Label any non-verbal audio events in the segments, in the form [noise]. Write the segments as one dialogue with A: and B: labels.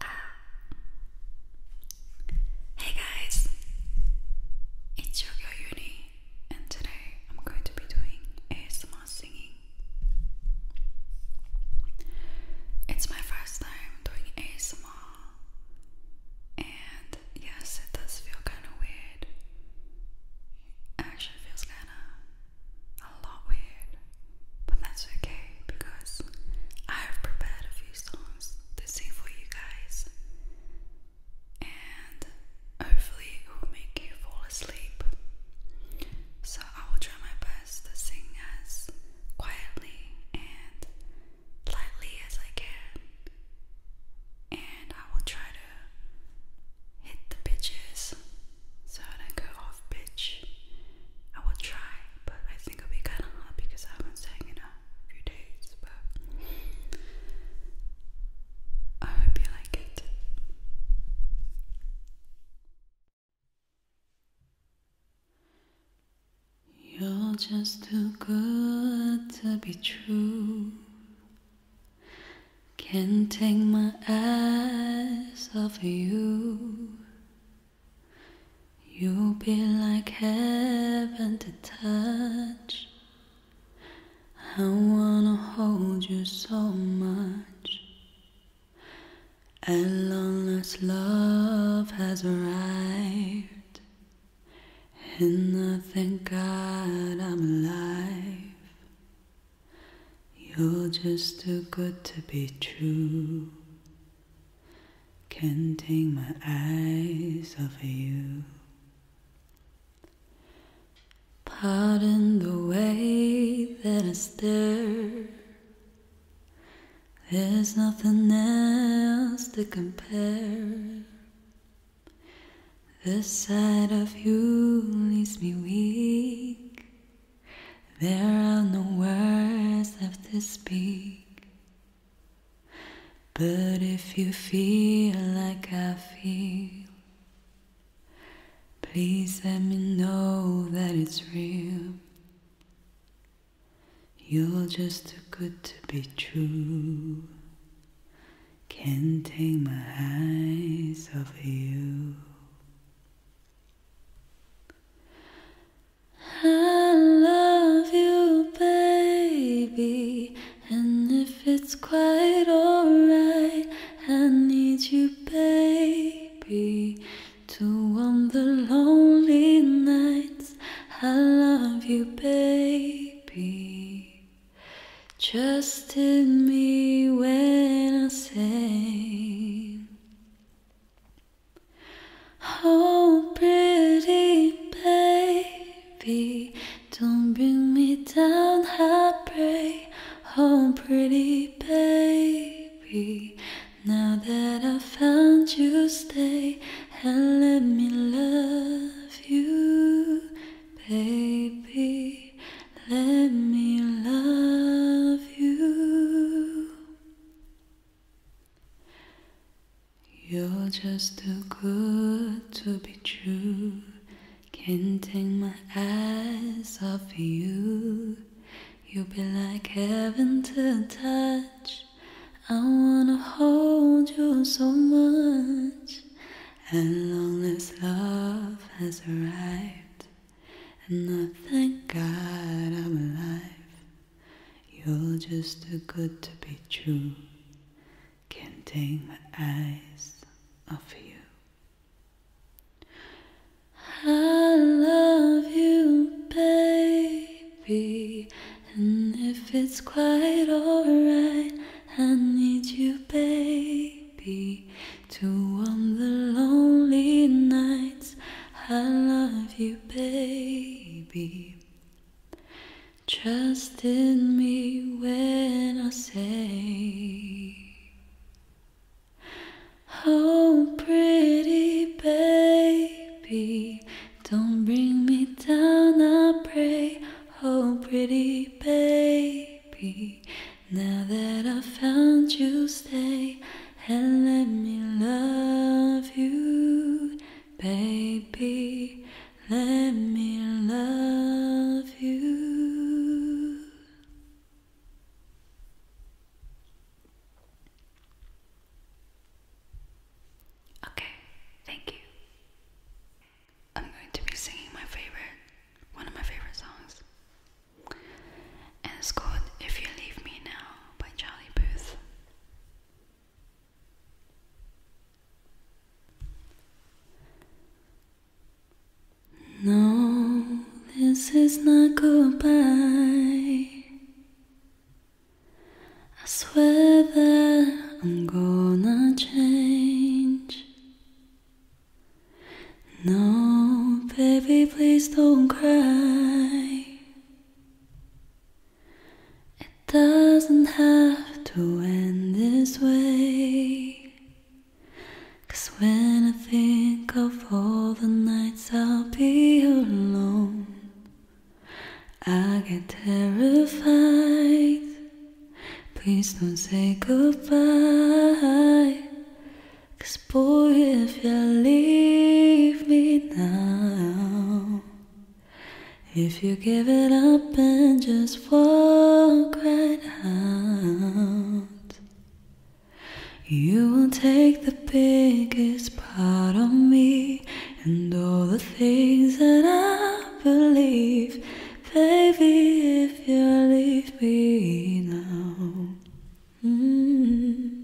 A: Ah. Hey guys, it's Yoga Uni, and today I'm going to be doing ASMR singing. It's my first time doing ASMR, and yes, it does feel kind of weird. Actually, feels kind of a lot weird, but that's okay because I've prepared a few songs to sing for you guys, and hopefully, it will make you fall asleep. So, I will try my best to sing as quietly and lightly as I can, and I will try to hit the pitches so I go off pitch. I will try, but I think it'll be kind of hard because I haven't sang in a few days. But I hope you like it. You're just too good to be true.
B: Can't take my eyes off you. You'll be like heaven to touch. I wanna hold you so much. At long last, love has arrived, and I thank God I'm alive. You're just too good to be true. Can't take my eyes off you. Pardon the way that I stare. There's nothing else to compare. The sight of you leaves me weak. There are no words left to speak. But if you feel like I feel, please let me know that it's real. You're just too good to be true. Can't take my eyes off you. I love you, baby, and if it's quite alright, I need you, baby, to warm the lonely nights. I love you, baby. Just in me when I sang. Oh, pretty baby, don't bring me down, I pray. Oh, pretty baby, now that I found you, stay and let me love you, baby. Let me love you. You're just too good to be true. Can't take my eyes off you. You'll be like heaven to touch. I wanna hold you so much. And long as love has arrived, and I thank God I'm alive. You're just too good to be true. Can't take my eyes off you. I love you, baby. And if it's quite alright, I need you, baby to on the lonely nights. I love you, baby. Trust in me when I say, Oh, pretty baby, don't bring me down, I pray. Oh, pretty baby. Now that I found you, stay and let me love you, baby. Let me love you.
A: Okay, thank you. I'm going to be singing my favorite, one of my favorite songs. And it's called If You Leave Me Now by Charlie Booth. No,
B: this is not goodbye. I swear that I'm gonna change. No, baby, please don't cry. It doesn't have to end this way. Cause when I think of all the nights I'll be alone, I get terrified. Please don't say goodbye. Cause boy, if you leave me now, if you give it up and just walk right out, you will take the biggest part of me and all the things that I believe. Baby, if you leave me now. Mm-hmm.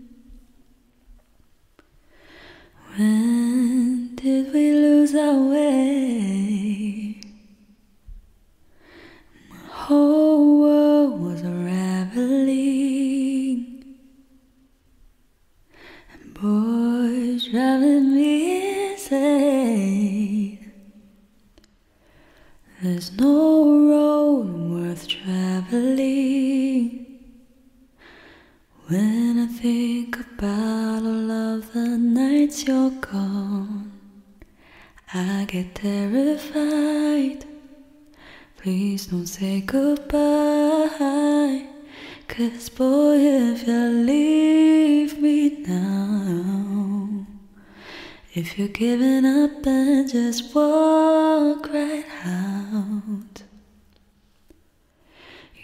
B: When did we lose our way? My whole world was unraveling, and boys driving me insane. There's no road worth traveling when I think about all of the nights you're gone. I get terrified. Please don't say goodbye. Cause boy, if you leave me now. If you're giving up, and just walk right out.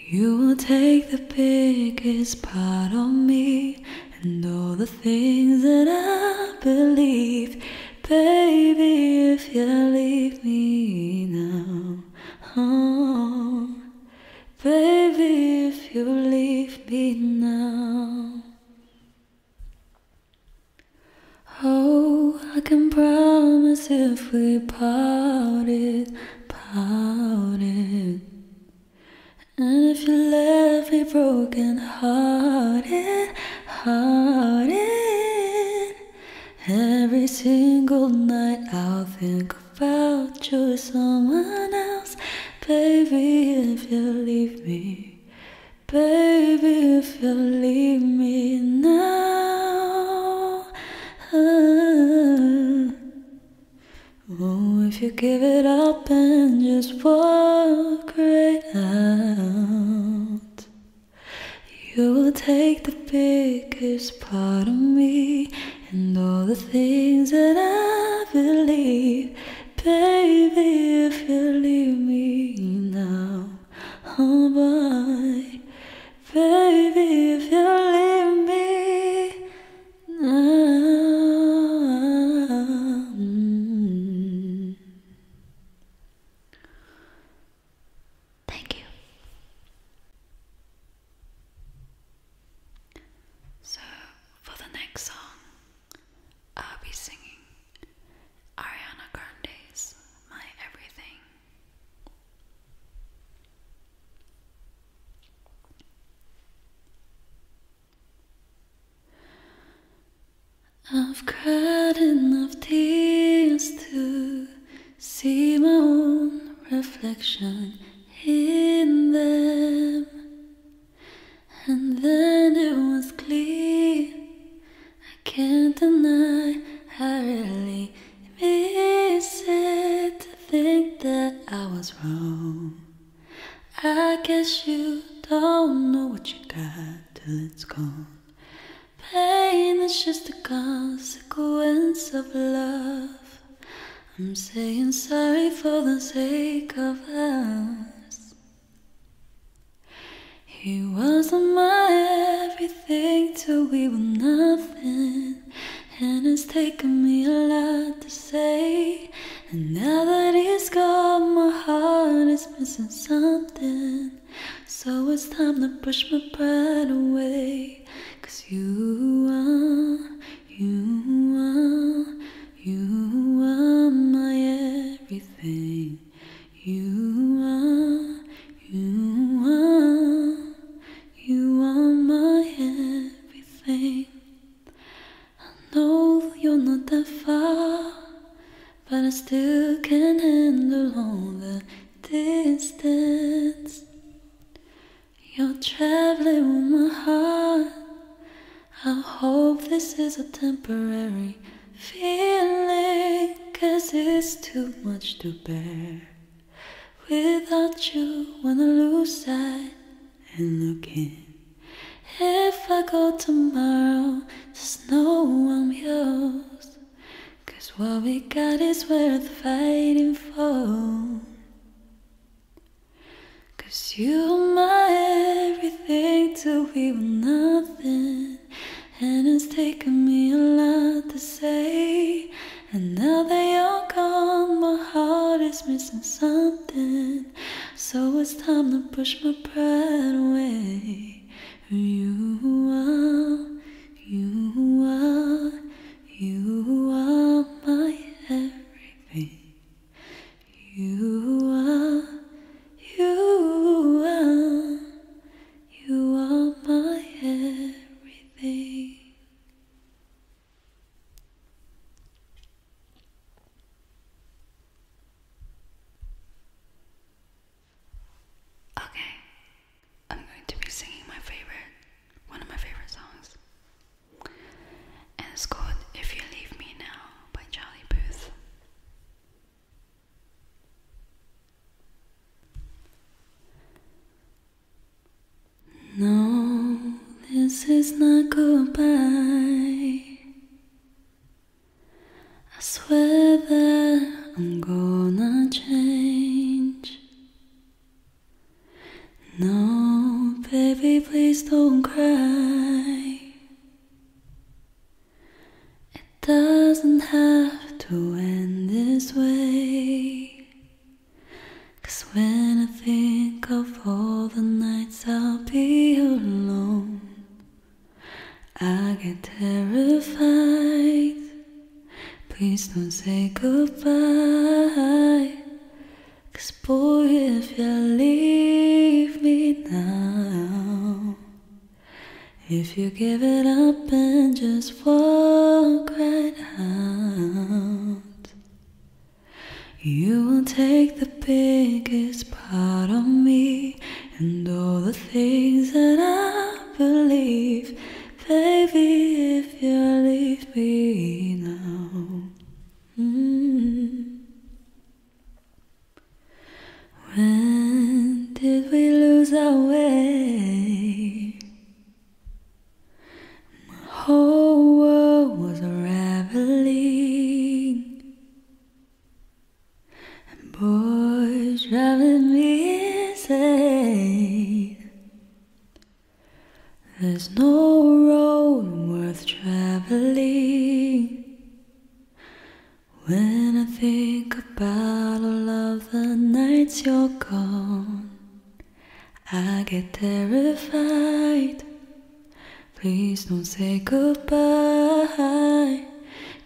B: You will take the biggest part of me and all the things that I believe. Baby, if you leave me now, oh, baby, if you leave me now. Oh, I can promise if we parted, parted. And if you left me broken hearted, hearted. Every single night I'll think about you, someone else. Baby, if you leave me, Baby, if you leave me now, oh, if you give it up and just walk right out, you will take the biggest part of me and all the things that I believe. Baby, if you leave me now, oh boy. Baby, if you leave me now.
A: Thank you. So, for the next song, I'll be singing Ariana Grande's My Everything.
B: I've cried enough tears to see my own reflection in them. And then it was clear I can't deny I really miss it to think that I was wrong. I guess you don't know what you got till it's gone. Pain is just a consequence of love. I'm saying sorry for the sake of us. He was my everything till we were nothing, and it's taken me a lot to say. And now that he's gone, my heart is missing something. So it's time to push my pride away. Cause you are, you are, you are my everything. You are, you are, you are my everything. I know you're not that far, but I still can handle all the distance. You're traveling with my heart. I hope this is a temporary feeling, cause it's too much to bear. Without you, when I lose sight and look in. If I go tomorrow, just know I'm yours. Cause what we got is worth fighting for. Cause you're my everything everything till we were nothing. And it's taken me a lot to say. And now that you're gone, my heart is missing something. So it's time to push my pride away. You are, you are, you are my everything. You are, you are, you are my everything.
A: Okay, I'm going to be singing my favorite, one of my favorite songs. And it's called If You Leave Me Now by Charlie Booth. No, this
B: is not goodbye. I swear that I'm gonna change. No, baby, please don't cry. It doesn't have to end this way. 'Cause when I think of all the nights I'll be alone, I get terrified. Please don't say goodbye. boy, if you leave me now, if you give it up and just walk right out, you will take the biggest part of me and all the things that I believe. Baby, if you leave me now. Mm. When did we lose our way? My whole world was unraveling, and boys driving me insane. There's no road worth traveling when I think about all of the nights you're gone, I get terrified. Please don't say goodbye.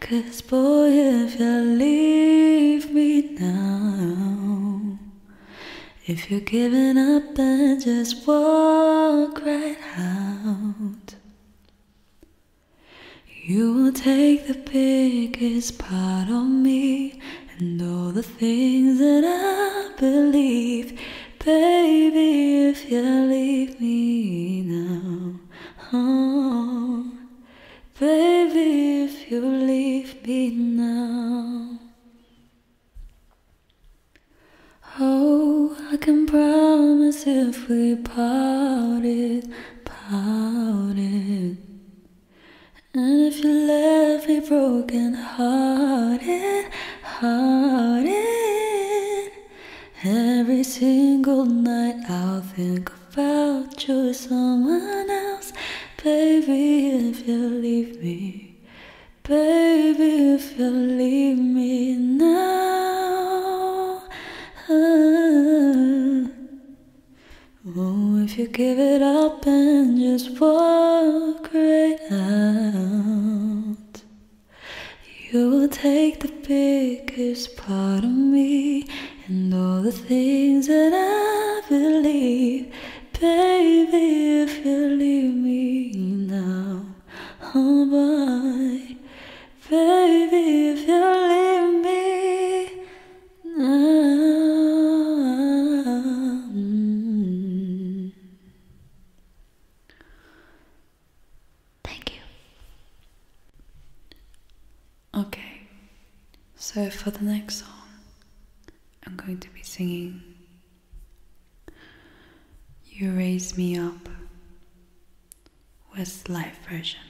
B: Cause boy, if you leave me now, if you're giving up and just walk right out, you will take the biggest part of me and all the things that I believe. Baby, if you leave me now, oh, baby, if you leave me now. Oh, I can promise you if we parted, parted? And if you left me broken hearted, hearted. Every single night I'll think about you or someone else. Baby, if you leave me, baby, if you leave me now. Ah. Oh, if you give it up and just walk right out, you will take the biggest part of me and all the things that I believe. Baby, if you leave me now, oh Baby, if you leave me now,
A: thank you. Okay, so for the next song, I'm going to be singing You Raise Me Up with life, version.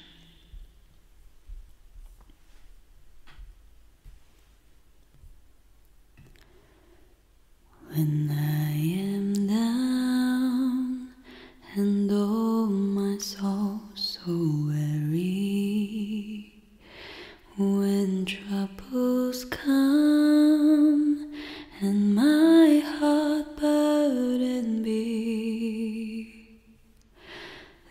A: When I
B: am down and oh my soul so weary, when troubles come and my heart burdened be.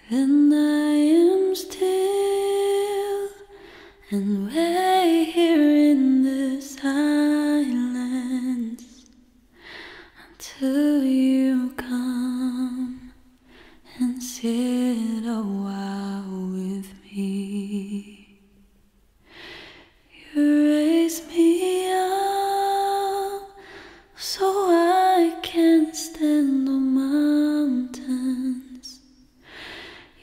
B: Then I am still and wait here in the silence until you come and sit a while with me. You raise me up so I can stand on mountains.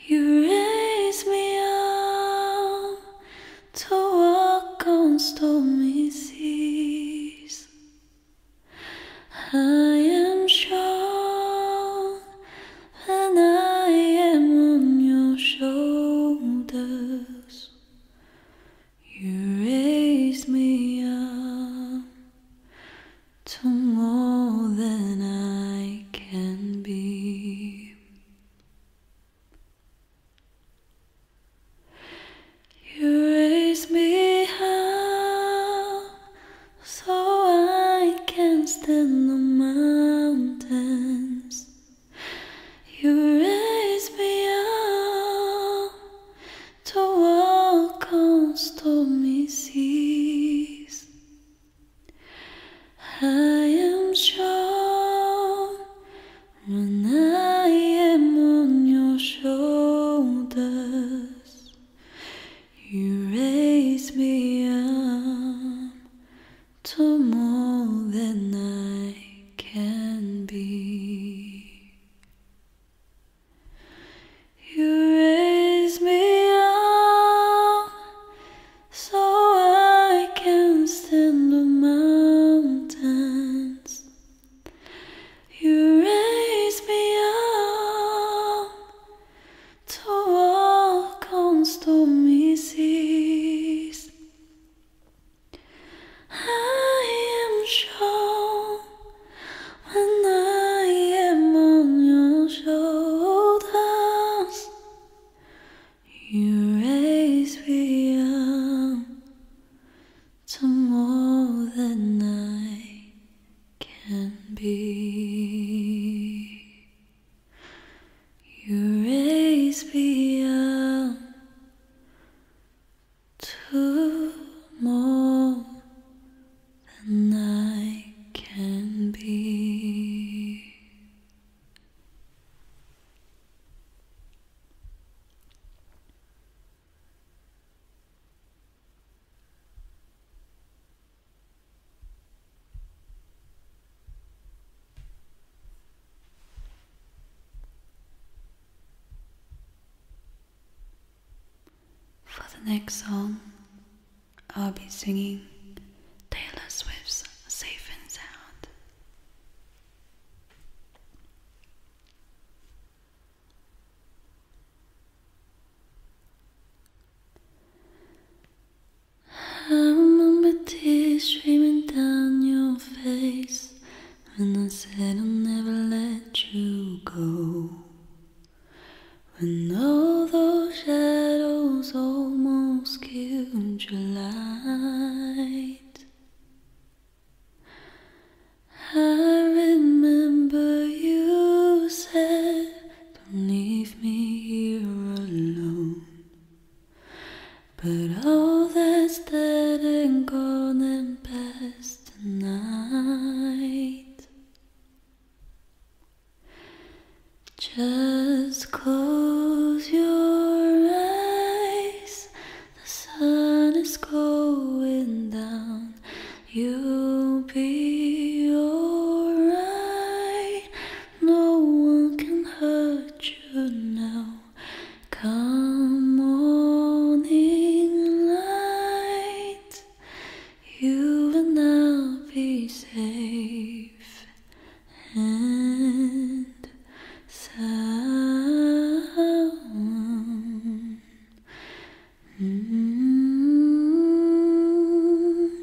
B: You raise me up to walk on stormy seas. I am strong when I am on your shoulders. You raise me up to more than I can be. You raise me up so I can stand the mountains. You raise me up to walk on stormy seas. I am strong when I am on your shoulders. You raise me up to more than I can be. You raise me up so I can stand the mountains. You raise me up to walk on stormy seas. I am strong when I am on your shoulders. You raise me up to more than I can be. You raise me up Two more than I can be.
A: For the next song, I'll be singing Taylor Swift's Safe and Sound.
B: I remember tears streaming down your face and I said I'll never let you go. When all those shadows almost killed your light, I remember you said, Don't leave me here alone. But all that's dead and gone and past tonight Just close your eyes The sun is going down You'll be alright No one can hurt you now Come morning light, you will now be safe and sound.
C: Mm-hmm.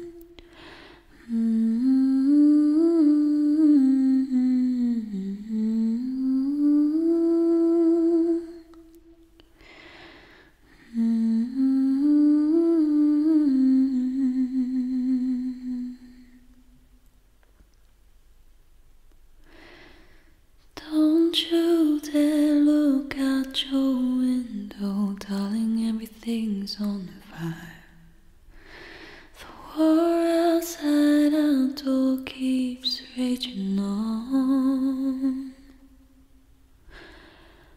C: Mm-hmm. Don't
B: you dare look out your window, darling, everything's on fire. The war outside our door keeps raging on.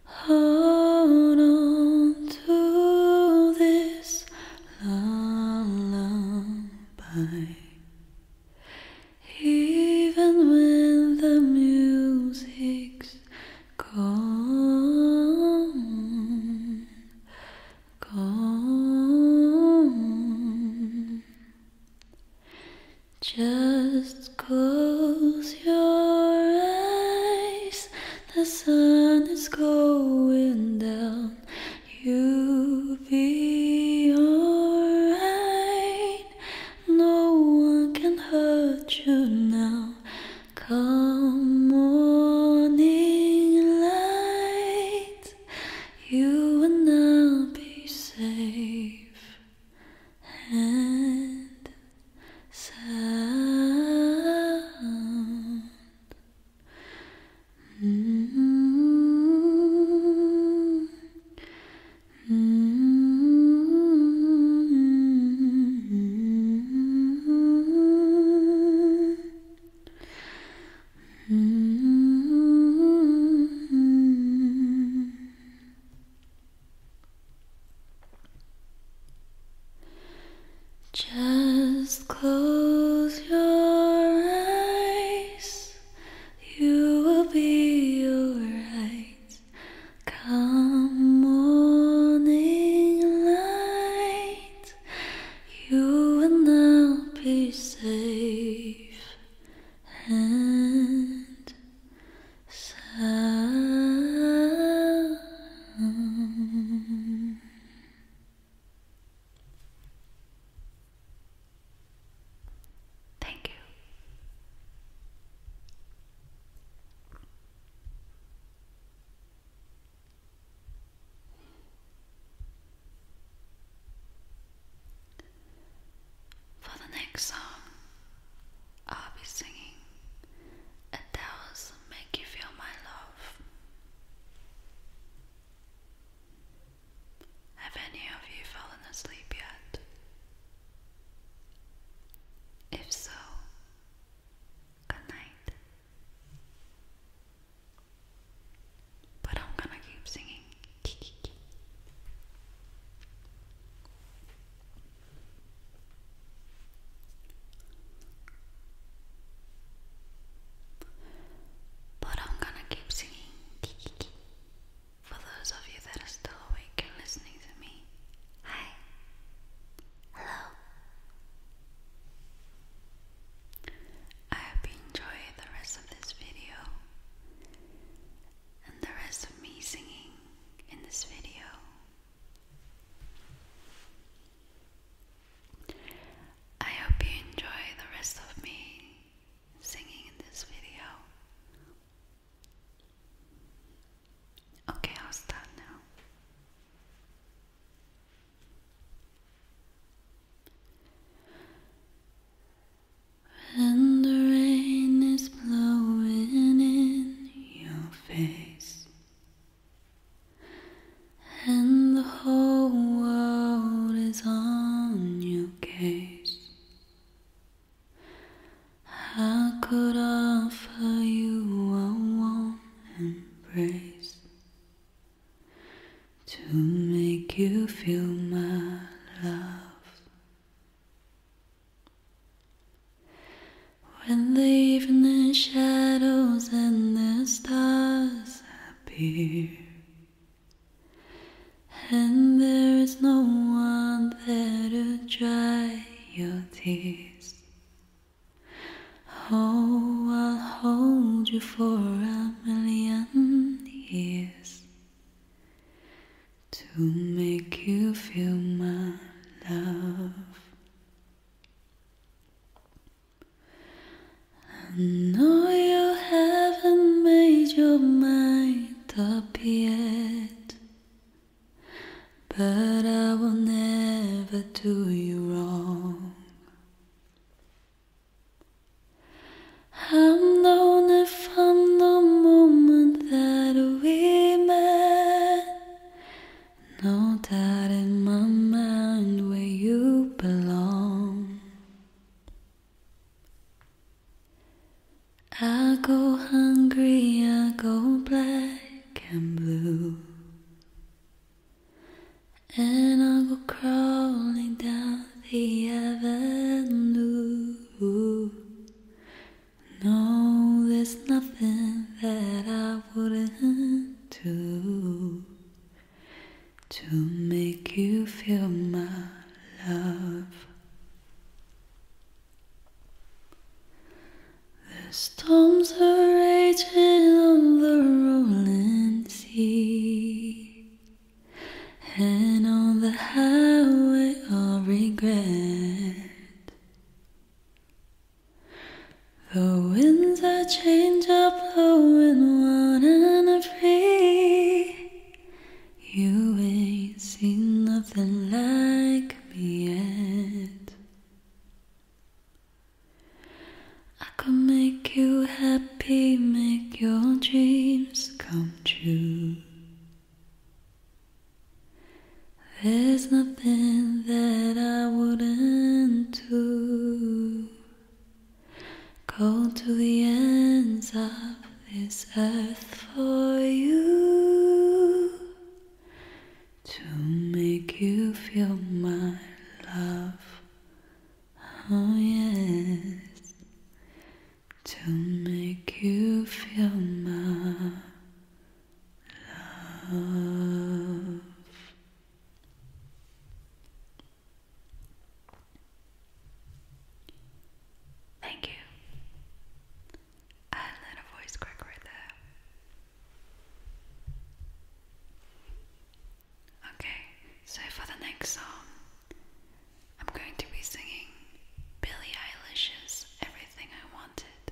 B: Hold on to this lullaby. Even when the music's gone, calm. Just close your eyes. The sun is going down. You'll be alright. No one can hurt you now. Come morning light you will now be safe and sound. Just close your eyes, you will be alright. Come morning light, you will now be safe and sound. Thank you.
A: For the next song, I'll be singing Adele's Make You Feel My Love. Have any of you fallen asleep yet? If so, good night. But I'm gonna keep singing. But I'm gonna keep singing for those of you that are still awake and listening to me. Hi. Hello. I hope you enjoy the rest of this video and the rest of me singing in this video. I hope you enjoy the rest of me singing in this video. Okay, I'll start now.
B: And the rain is blowing in your face, and the whole world is on your case. I could offer you a warm embrace, to make you feel my love. When the evening shadows and the stars appear, and there is no one there to dry your tears. Oh, I'll hold you for a million is to make you feel my love. I know you haven't made your mind up yet, but I will never do you wrong. I'm known if I'm the moment that we met. No doubt in my mind where you belong. I go hungry, I go black and blue. And I'll go crawling down the avenue. No, there's nothing that I wouldn't do to make you feel my love. The storms are raging on the rolling sea and on the highway of regret. The winds I change are blowing one and a free. You ain't seen nothing like me yet. I could make you happy, make your dreams come true. There's nothing that I wouldn't do. Go to the ends of this earth for you to make you feel my love Oh, yes, to make you feel my love.
A: Thank you. I let a voice crack right there. Okay, so for the next song, I'm going to be singing Billie Eilish's Everything I Wanted.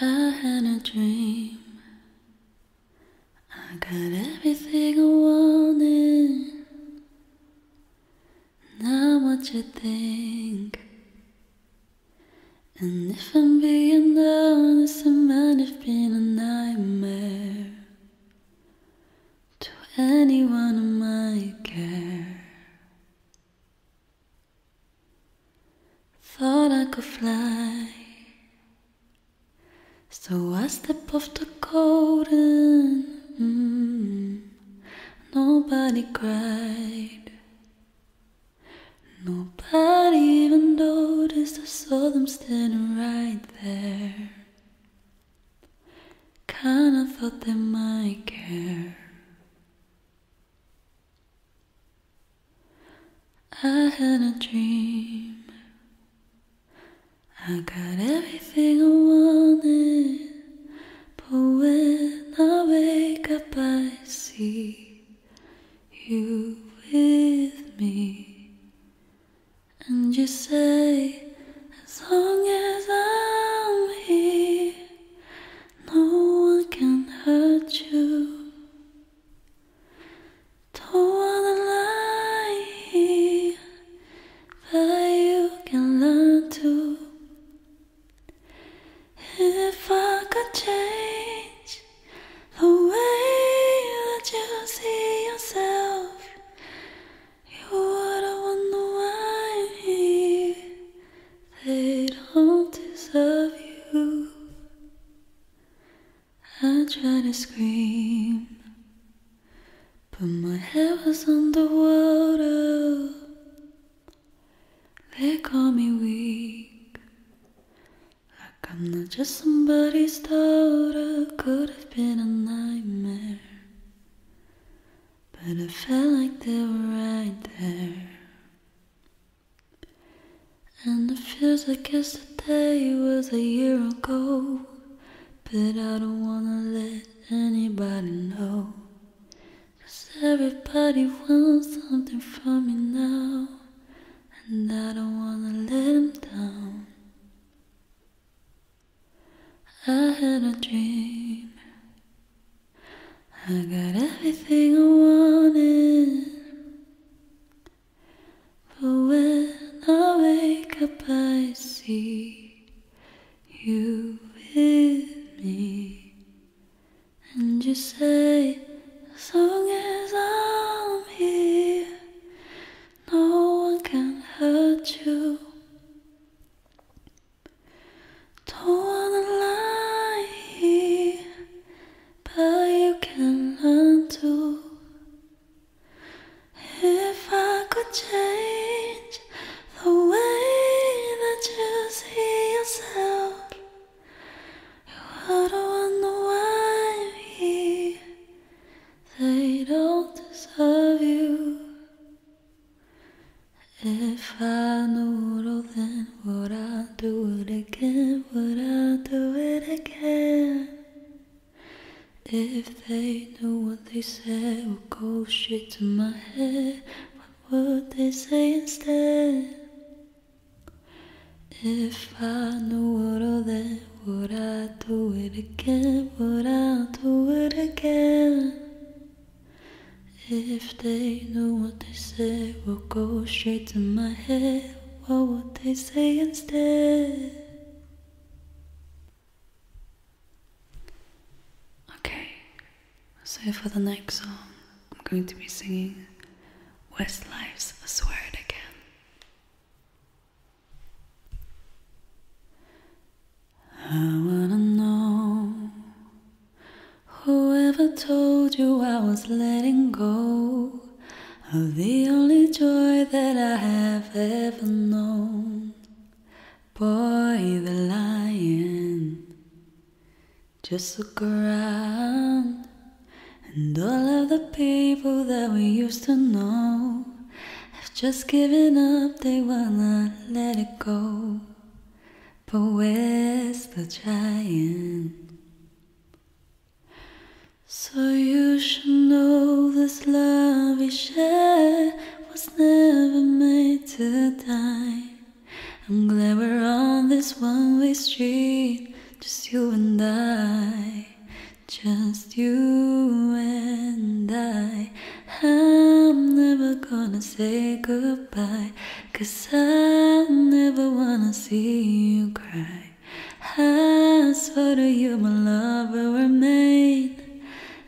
B: I had a dream. I got everything I wanted. Now what you think? And if I'm being honest, it might have been a nightmare to anyone in my care. Thought I could fly, so I step off the cold and. Mm, Nobody cried. Nobody even noticed. I saw them standing right there. Kinda thought they might care. I had a dream. I got everything I wanted, but when I wake up, I see you with me, and you say, As long as I'm here, no one can hurt you. Don't wanna lie but you can learn to. If I could change the way that you see yourself, you wouldn't wonder why they don't deserve you. I try to scream. But my head was underwater. They call me weak. Like I'm not just somebody's daughter. Could have been a nightmare. But I felt like they were right there. And it feels like yesterday was a year ago. But I don't wanna let anybody know. Cause everybody wants something from me now. And I don't wanna let them down. I had a dream. I got everything I wanted. But when I wake up, I see you with me. And you say, as long as I'm here, no one can hurt you. Don't wanna lie but you can learn to. If I could change the way that you see yourself, I don't wonder why i They don't deserve you. If I knew it all, then would I do it again? Would I do it again? If if they knew what they said would go straight to my head, what would they say instead? If I knew what all that, would I do it again? Would I do it again? If they knew what they said would go straight to my head, what would they say
A: instead? Okay, so for the next song, I'm going to be singing Westlife's I Swear It Again. I wanna know
B: whoever told you I was letting go of the only joy that I have ever known. Boy, the lion. Just look around, and all of the people that we used to know have just given up, they wanna let it go. But where's the giant? So you should know this love we share was never made to die. I'm glad we're on this one way street, just you and I, just you and I. I'm never gonna say goodbye, cause I never wanna see you cry. I swear to you, my lover, we're made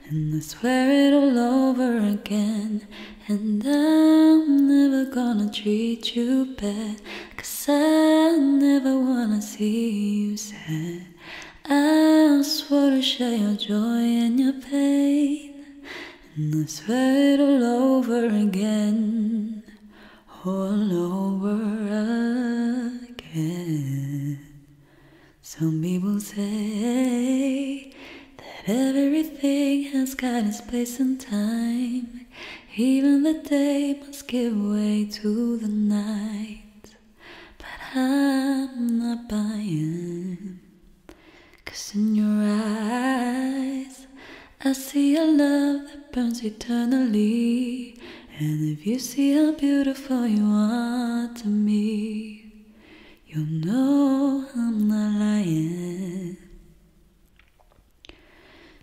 B: and I swear it all over again. And I'm never gonna treat you bad. Cause I never wanna see you sad. I swore to share your joy and your pain. And I swear it all over again. All over again. Some people say that everything has got its place and time. Even the day must give way to the night. But I'm not buying. Cause in your eyes, I see a love that burns eternally. And if you see how beautiful you are to me, you know I'm not lying.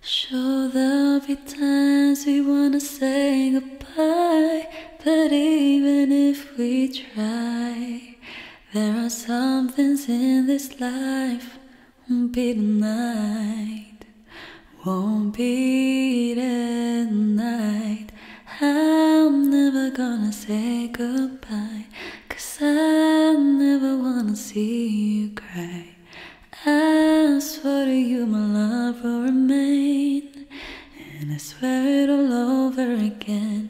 B: Sure, there'll be times we wanna say goodbye, but even if we try, there are some things in this life won't be denied, won't be denied. I'm never gonna say goodbye. Cause I never wanna see you cry. I swear to you, my love will remain. And I swear it all over again.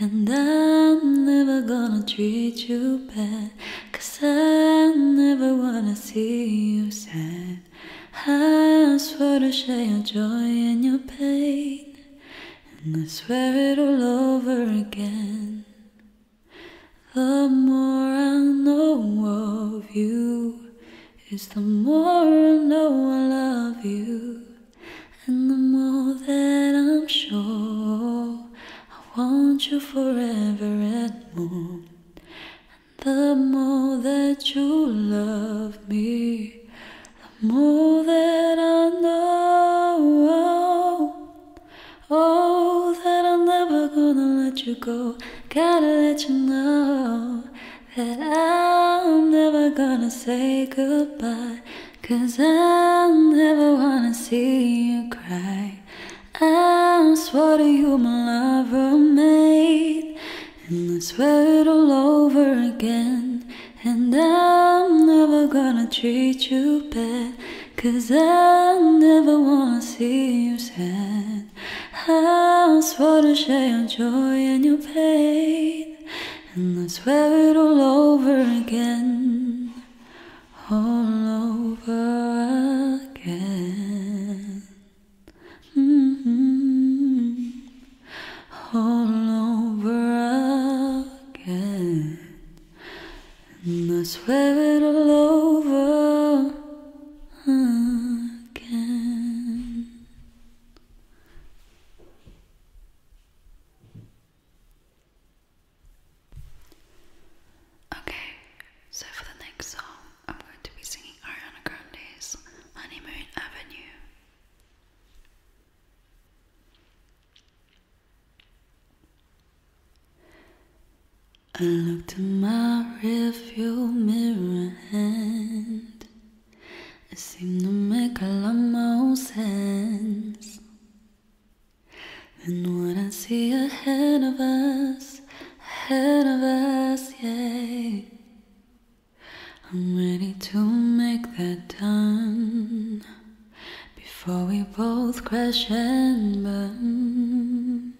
B: And I'm never gonna treat you bad. Cause I never wanna see you sad. I swear to share your joy and your pain and I swear it all over again. The more I know of you, is the more I know I love you, and the more that I'm sure I want you forever and more. And the more that you love me, the more that I know, oh, that I'm never gonna let you go. Gotta let you know that I'm never gonna say goodbye. Cause I never wanna see you cry. I swore to you, my lover, mate. And I swear it all over again. And I'm never gonna treat you bad. Cause I never wanna see you sad. I swore to share your joy and your pain. And I swear it all over again. All over again. -hmm all over again. And I swear it all over again.
A: Okay, so for the next song, I'm going to be singing Ariana Grande's Honeymoon Avenue.
B: I look in my rearview mirror and it seemed to make a lot more sense than when I see ahead of us, ahead of us, yeah. I'm ready to make that done before we both crash and burn.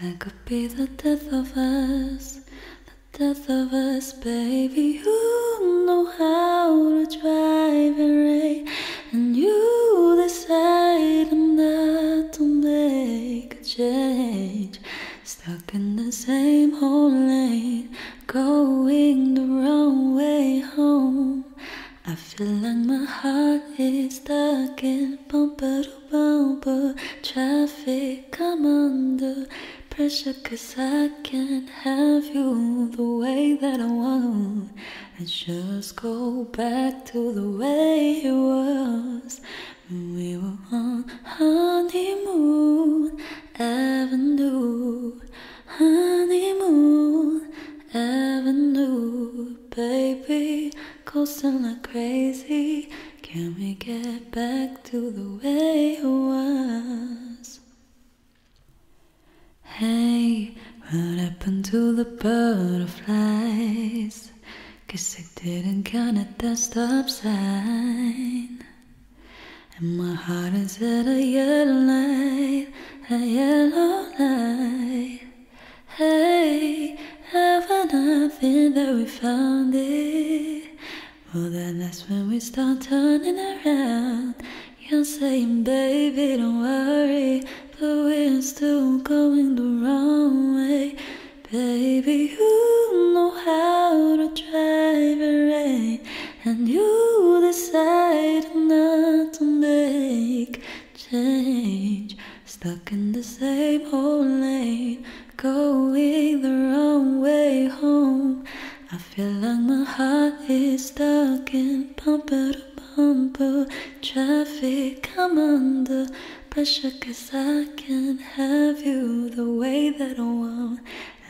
B: that could be the death of us, the death of us, baby. You know how to drive and rain, and you decide not to make a change. Stuck in the same old lane going the wrong way home. I feel like my heart is stuck in bumper to bumper traffic. Come under pressure, cause I can't have you the way that I want. I just go back to the way it was when we were on honeymoon. Avenue, honeymoon, Avenue, baby, coasting like crazy. Can we get back to the way it was? Hey, what happened to the butterflies? Cause I didn't count at the stop sign. And my heart is at a yellow light, a yellow light. Hey, haven't I that we found it? Well, then that's when we start turning around. You're saying, baby, don't worry, but we're still going the wrong way. Baby, you know how to drive a rain and you decide not to make change. Stuck in the same old lane, going the wrong way home. I feel like my heart is stuck in bumper to bumper traffic. Come under pressure, cause I can't have you the way that I want.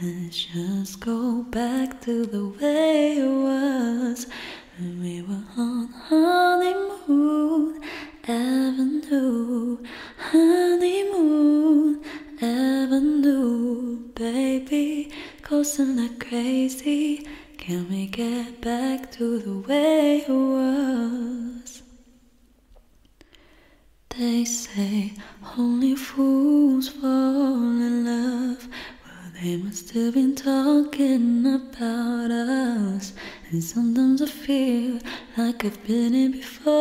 B: Let's just go back to the way it was when we were on honeymoon avenue, honeymoon avenue, baby, cause I'm not crazy. Can we get back to the way it was? They say only fools fall in love. Well, they must have been talking about us. And sometimes I feel like I've been here before.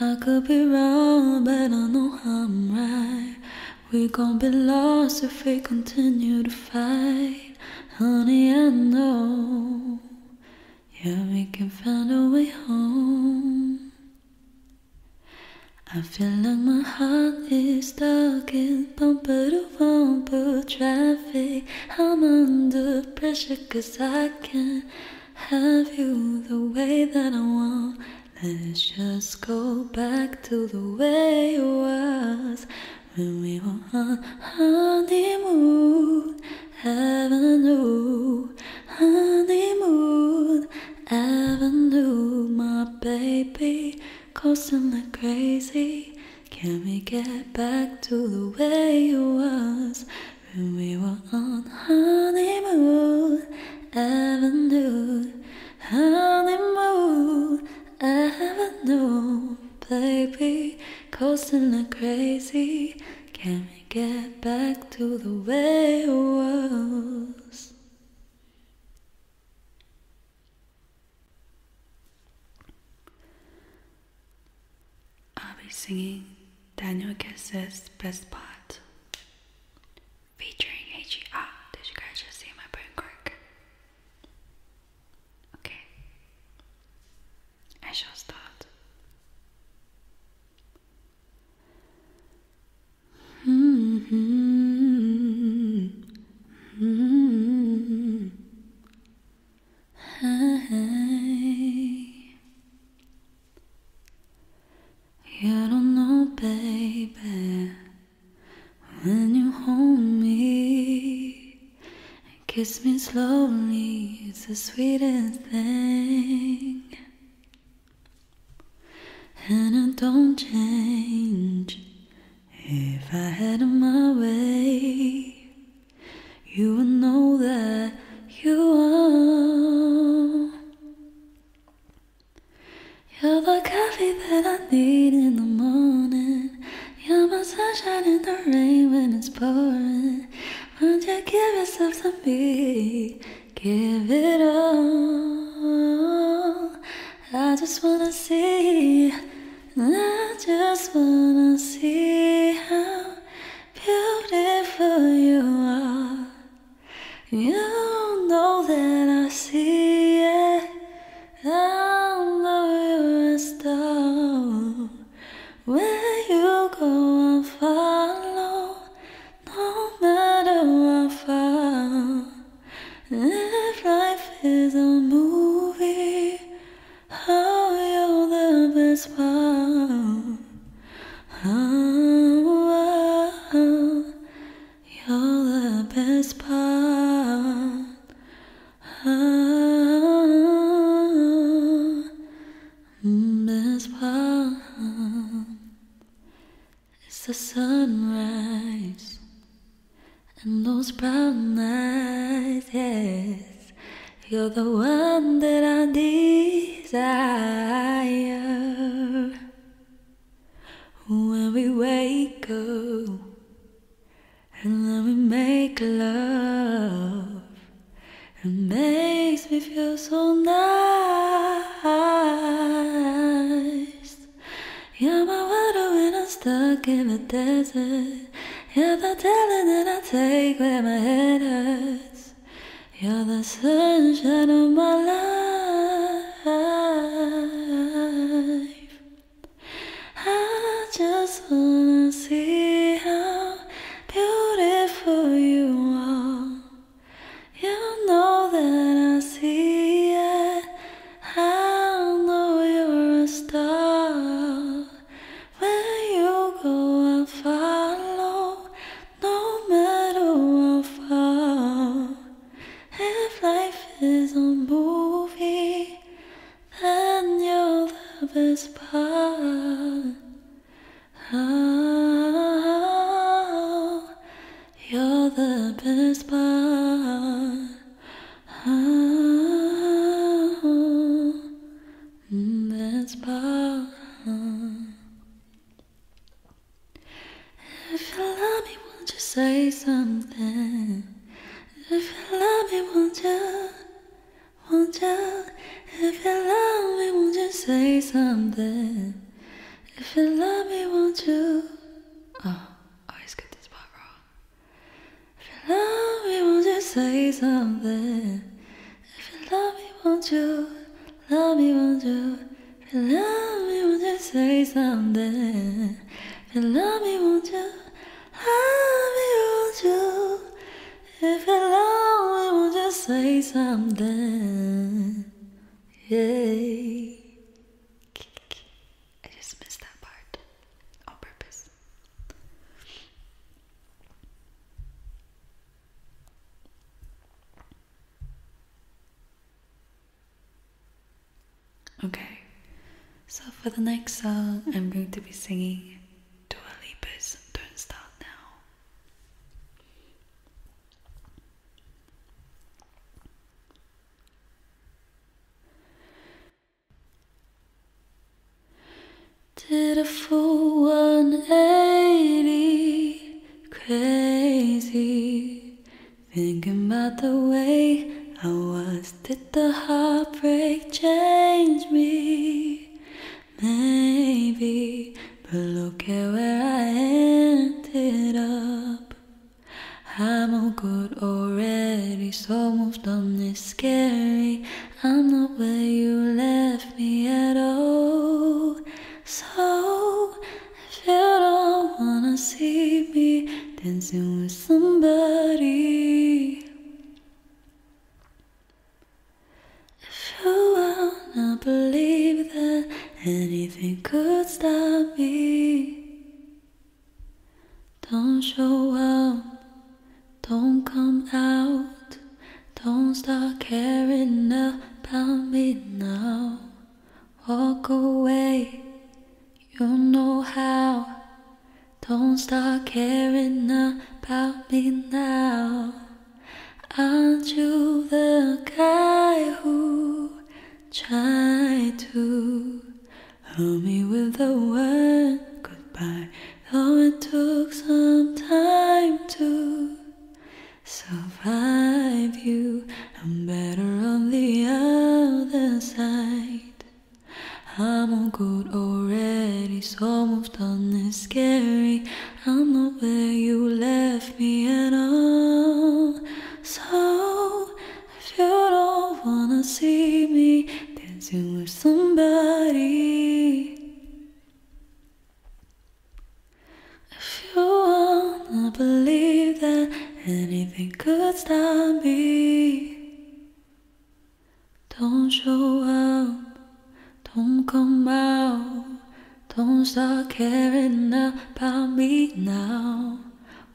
B: I could be wrong, but I know I'm right. We're gonna be lost if we continue to fight. Honey, I know yeah, we can find a way home. I feel like my heart is stuck in bumper to bumper traffic. I'm under pressure cause I can't have you the way that I want. Let's just go back to the way it was when we were on honeymoon. Haven't Avenue, honeymoon, haven't Avenue, my baby, like crazy. Can we get back to the way it was when we were on honeymoon? Haven't Avenue, honeymoon, 'Cause I'm like crazy. Can we I get back to the way it was.
A: I'll be singing Daniel Kess's Best Part featuring HER. Did you guys just see my brain crack? Okay. I shall start. Mm -hmm.
C: Mm -hmm.
B: hmm. You don't know, baby, when you hold me Kiss me slowly, it's the sweetest thing. And I don't change. If I had my way, you would know that you are. You're the coffee that I need in the morning. You're my sunshine in the rain when it's pouring. Won't you give yourself to me? Give it all. I just wanna see. I just wanna see how beautiful you are. You know that I see it. I know you a star. Where you go, I'll follow, no matter how far. If life is a movie, oh, you're the best part. Oh, you're the best part. Oh, as one is the sunrise and those brown eyes. Yes, you're the one that I desire. When we wake up and then we make love. It makes me feel so nice. You're my water when I'm stuck in the desert. You're the talent I take when my head hurts. You're the sunshine of my life. I just wanna see how beautiful you are. You know that I see it. I know you're a star. When you go, I follow, no matter how far. If life is a movie, then you're the best part. Oh, you're the best part. Oh, best part. If you love me, won't you say something? If you love me, won't you? Wonder if you love me, won't you say something? If you love me, won't you? Oh, I always get this part wrong. If you love me, won't you say something? If you love me, won't you? Love me, won't you? If you love me, won't you say something? If you love me, won't you? Love me, won't you? If you're lonely, won't you say something? Yeah. I just missed that part on purpose.
A: Okay, so for the next song, I'm going to be singing "Do A Dua Lipa's Don't Start Now.
B: Did a fool 180 crazy thinking about the way I was. Did the heartbreak change me? maybe, but look at where I ended up. I'm all good already, so moved on is scary. I'm not where you left me at all. So, if you don't wanna see me dancing with somebody. If you wanna believe that anything could stop me, don't show up, don't come out, don't start caring about me now. Walk away, you know how. Don't start caring about me now. Aren't you the guy who tried to hold me with the word goodbye? Though it took some time to survive you, I'm better on the other side. I'm all good already, so moved on is scary. I'm not where you left me at all. So, if you don't wanna see me then dancing with somebody, if you wanna believe that anything could stop me, don't show up. Don't come out, don't start caring about me now.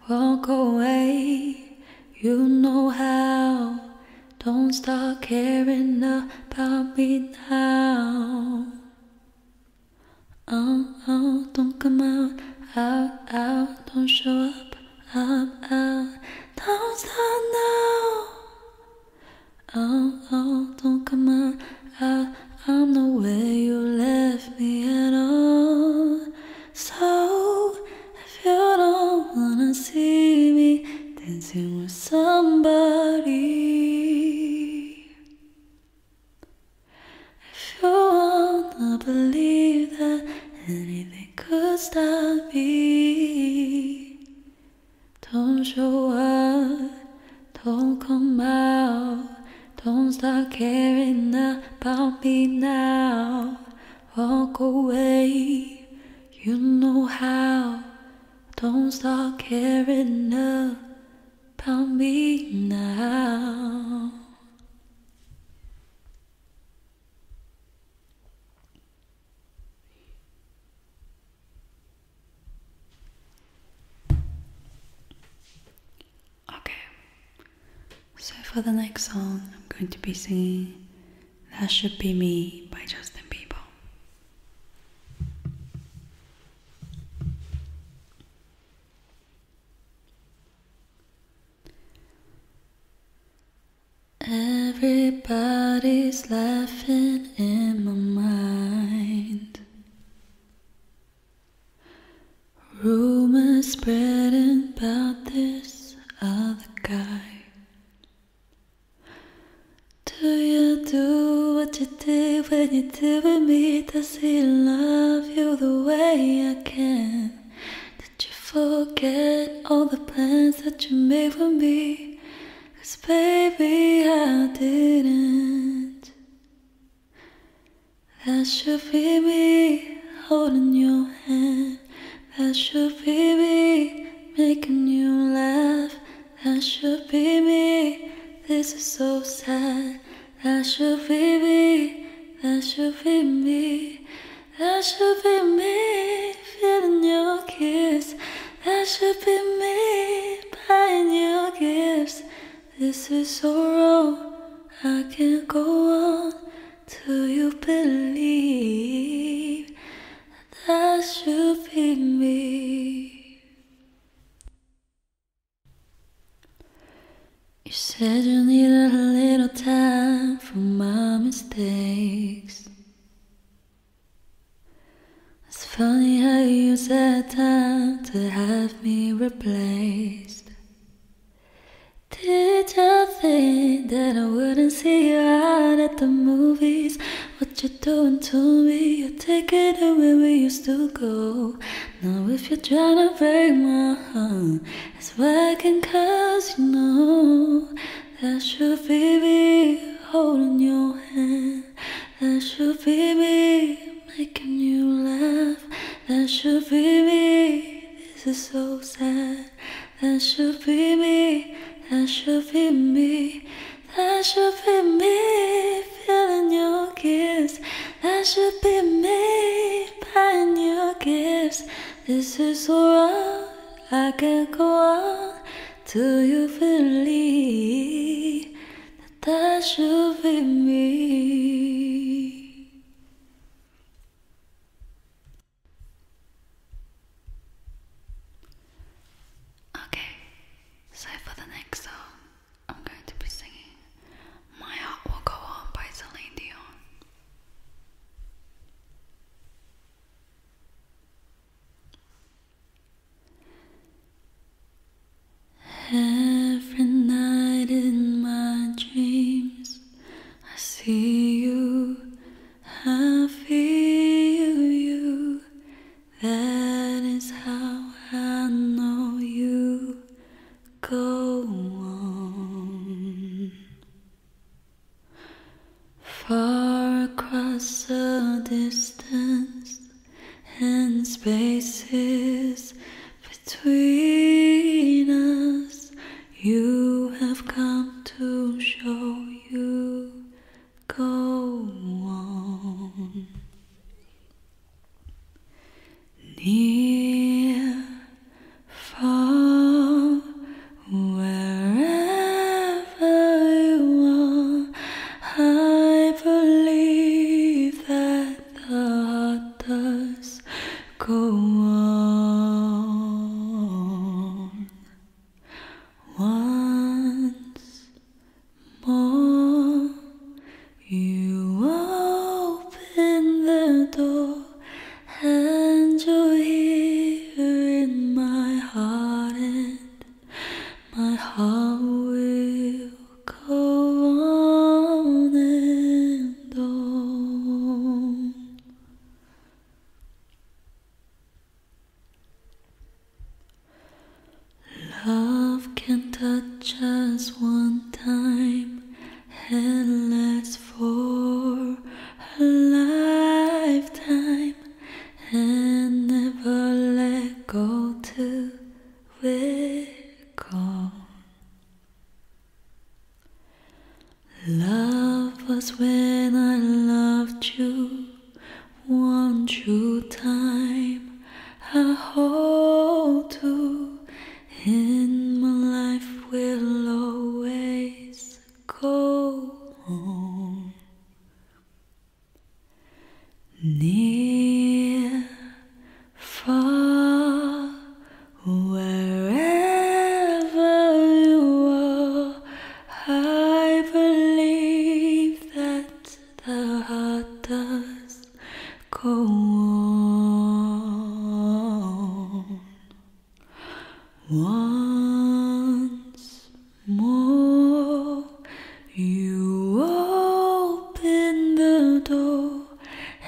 B: Walk away, you know how. Don't start caring about me now. Oh, oh, don't come out, out, out, don't show up, up, out. Don't start now. Oh, oh, don't come on. I, I'm the you left me at all. So, if you don't wanna see me dancing with somebody, if you wanna believe that anything could stop me. Don't show up, don't come out, don't start caring about me now. Walk away, you know how. Don't start caring about me now.
A: Okay, so for the next song, I'm going to be singing That Should Be Me by Justin Bieber.
B: Everybody's laughing in my mind. Rumors spreading about this other guy. Do you do what you did when you did with me? Does he love you the way I can? Did you forget all the plans that you made for me? Cause baby, I didn't. That should be me holding your hand. That should be me making you laugh. That should be me. This is so sad. That should be me. That should be me. That should be me feeling your kiss. I should be made by new gifts. This is so wrong. I can't go on till you believe that should be me. You said you needed a little time for my mistakes. It's funny how you sat time to have me replaced. Did you think that I wouldn't see you out at the movies? What you're doing to me, you're taking away we used to go. Now if you're trying to break my heart, it's working cause you know that should be me holding your hand. That should be me making you laugh. That should be me. This is so sad. That should be me. That should be me. That should be me feeling your kiss. That should be me buying your gifts. This is so wrong. I can't go on. Do you believe that that should be me?
A: Okay, so for the next song, I'm going to be singing My Heart Will Go On by Celine Dion.
B: Every night in my dreams, I see you, I feel you. That is how I know you go on far across the distance and spaces between us. You have come to show you go on. Near, far, wherever. I want. I believe that the heart does go on once more. You open the door and you're here in my heart my heart will go on
C: and on.
B: Love can touch us one time and last for a lifetime and never let go till we're gone. Love was when I loved you one true time I hold to in my life will always go on. Near, far, wherever you are, I believe that the heart does go on. Once more. You open the door,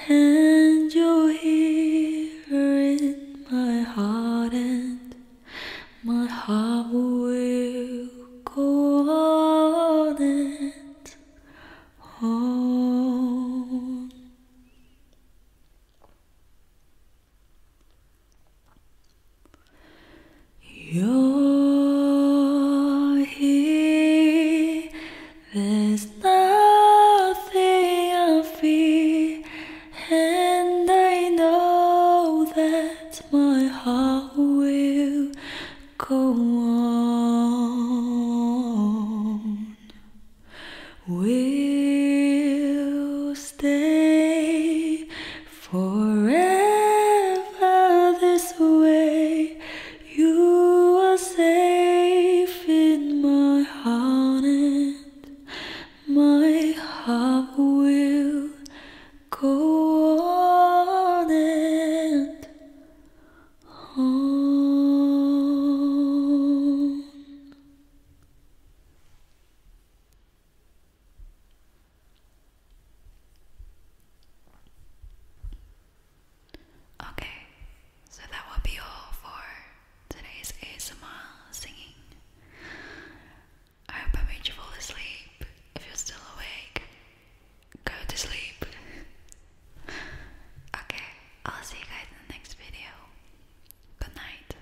B: and you're here in my heart, and my heart will go on and on. You're here, there's nothing I fear, and I know that my heart will go on. Will stay Forever this way, you are safe in my heart, and my heart will go on and
C: on.
A: Okay, so that will be all for today's ASMR singing. I hope I made you fall asleep. If you're still awake, go to sleep. [laughs] okay, I'll see you guys in the next video. Good night.